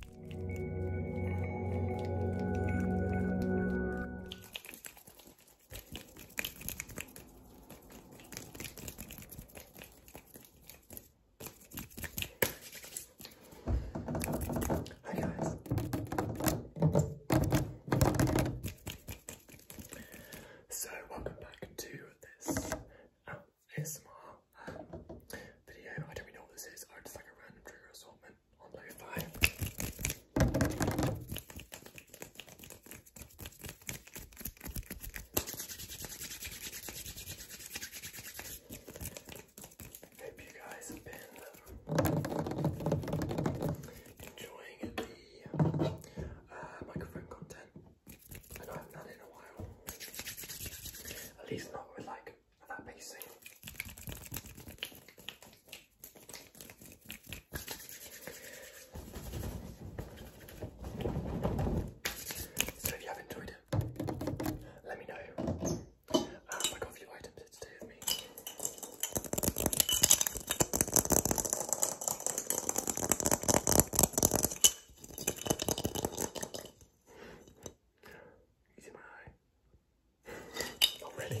Hi guys. So welcome back to this um, ASMR video. I don't really know what this is. I just like a random trigger assortment on lo-fi. Hope you guys have been uh, enjoying the uh, microphone content. I know I haven't in a while. At least not with like so if you have enjoyed it, let me know. Um, I got a few items here today me. You see my eye? already.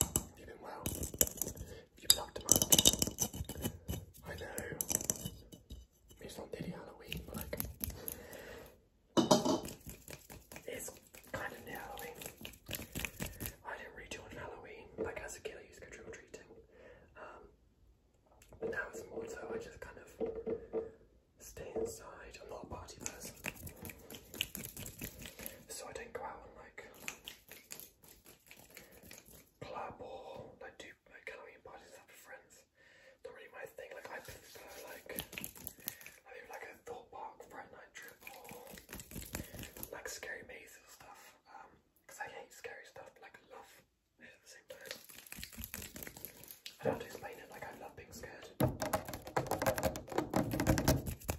You've been well. You've loved him much. I know. It's not nearly Halloween, but like it's kind of near Halloween. I didn't really do on Halloween. Like as a kid, I used to go trick or treating, um, but now it's more so I just kind of stay inside. I'm not a party person, so I don't go out and like club or like do like Halloween parties and friends. Not really my thing. Like I prefer like like a thought park night trip or like scary mazes and stuff. Um, because I hate scary stuff, like love at the same time. I don't have to explain it. Like I love being scared.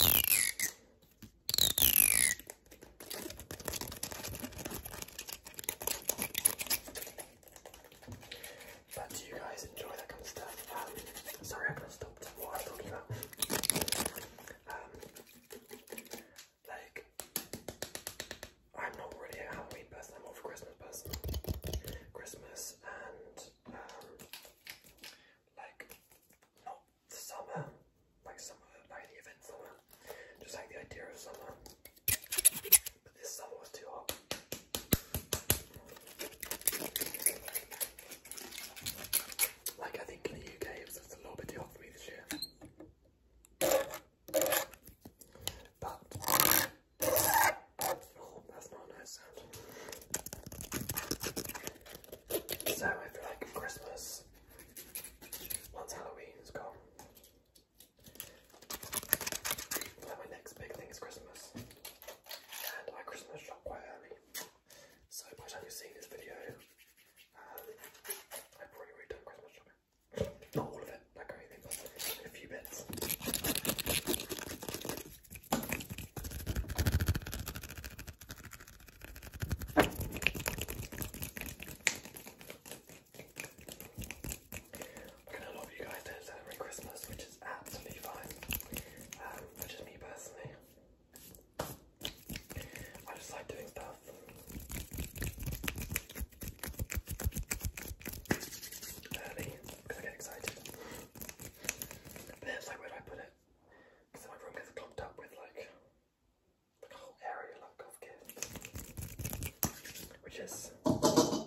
But do you guys enjoy that kind of stuff? Um, sorry, I kind of stopped what I was talking about. Um, like, I'm not really a Halloween person, I'm more of a Christmas person. Christmas and, um, like, not summer, like summer, like the event summer, just like the idea of summer. But this summer was too hot. Like I think in the UK it was just a little bit too hot for me this year. But oh, that's not a sound. So I feel like Christmas once halloween is gone. Well, my next big thing is Christmas, and I Christmas shop quite early. So by the time you've this video, um, I've probably done Christmas shopping. Not all of it, not a few bits. We're gonna love you guys do Christmas, which is absolutely fine. Um, which is me personally. I just like doing stuff. Early, because I get excited. where do I put it? Because my room gets clogged up with like like a whole area like of gifts, which is a little bit annoying.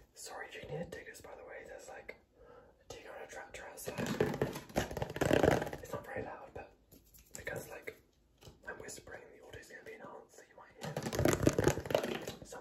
Sorry, do you need a diggers, by the way? There's like a digger and a tractor outside. It's not very loud, but because like I'm whispering, the audio's gonna be enhanced, so you might hear some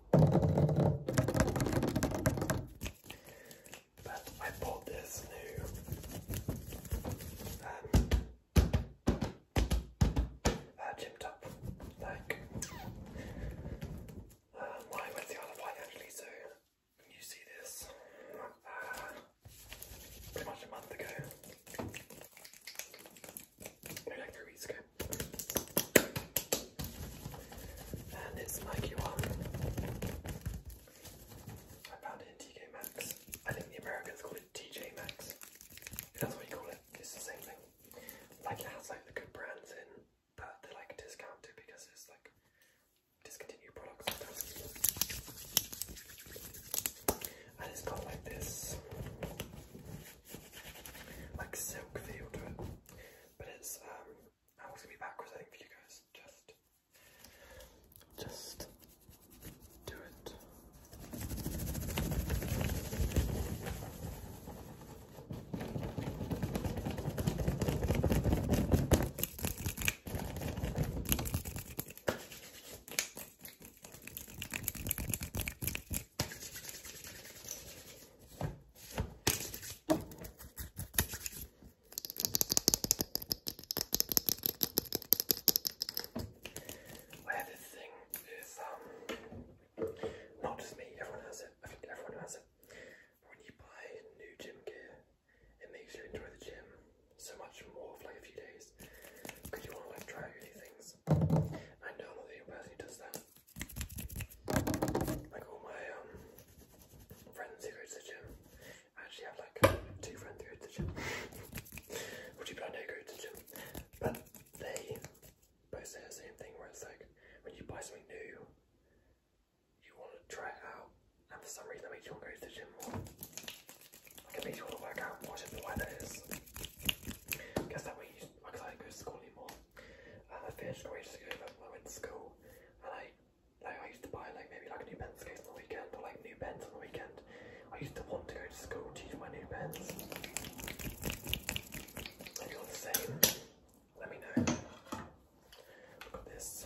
But I bought this new um, uh, gym like um, uh, I went the other one actually, so you see this uh, pretty much a month ago, no, like three weeks ago. And it's Nike one. I found it in TJ Max. I think the Americans call it TJ Max. that's what you call it, it's the same thing. Like it has like the good brands in, but they're like discounted because it's like discontinued products. And it's got like this like silk feel to it. But it's um I was gonna be backwards, I think, for you guys. Just, just do it. Well, this thing is um, not just me, everyone has it. I think everyone has it. When you buy new gym gear, it makes you enjoy the gym so much more for like a few days because you want to like try new things. I know not the does that. Like all my um, friends who go to the gym, I actually have like two friends who go to the gym, or two people I know go to the gym, but they both say the same thing where it's like when you buy something new, you want to try it out, and for some reason that makes you want to go to the gym more. Like it makes you want to work out more, I don't know why that is. I guess that way you, because I go to school anymore, I finished first grade to go I went to school, and I, I used to buy like maybe like new pens case on the weekend or like new pens on the weekend. I used to want to go to school to use my new pens. you're the same, let me know. I've this.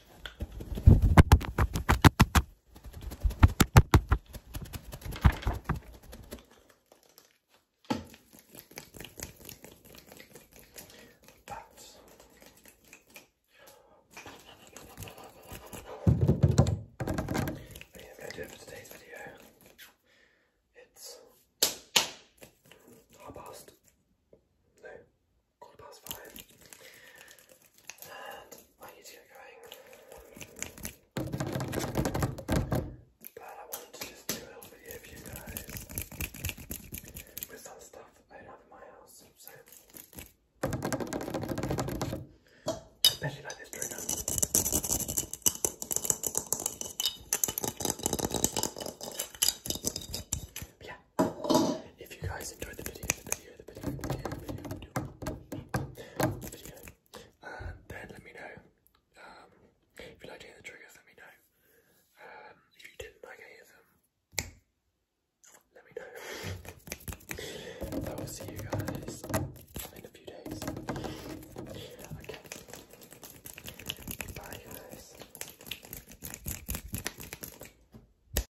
That's oh, I think I'm going to do it for today's video. It's half past. No, quarter past five, and I need to get going. But I wanted to just do a little video for you guys with some stuff I have in my house, so especially like this trigger. If you guys enjoyed the video, the video, the video, the video, the video, then let me know. Um, if you liked any of the triggers, let me know. Um, if you didn't like any of them, let me know. I will see you guys in a few days. Okay. Bye, guys.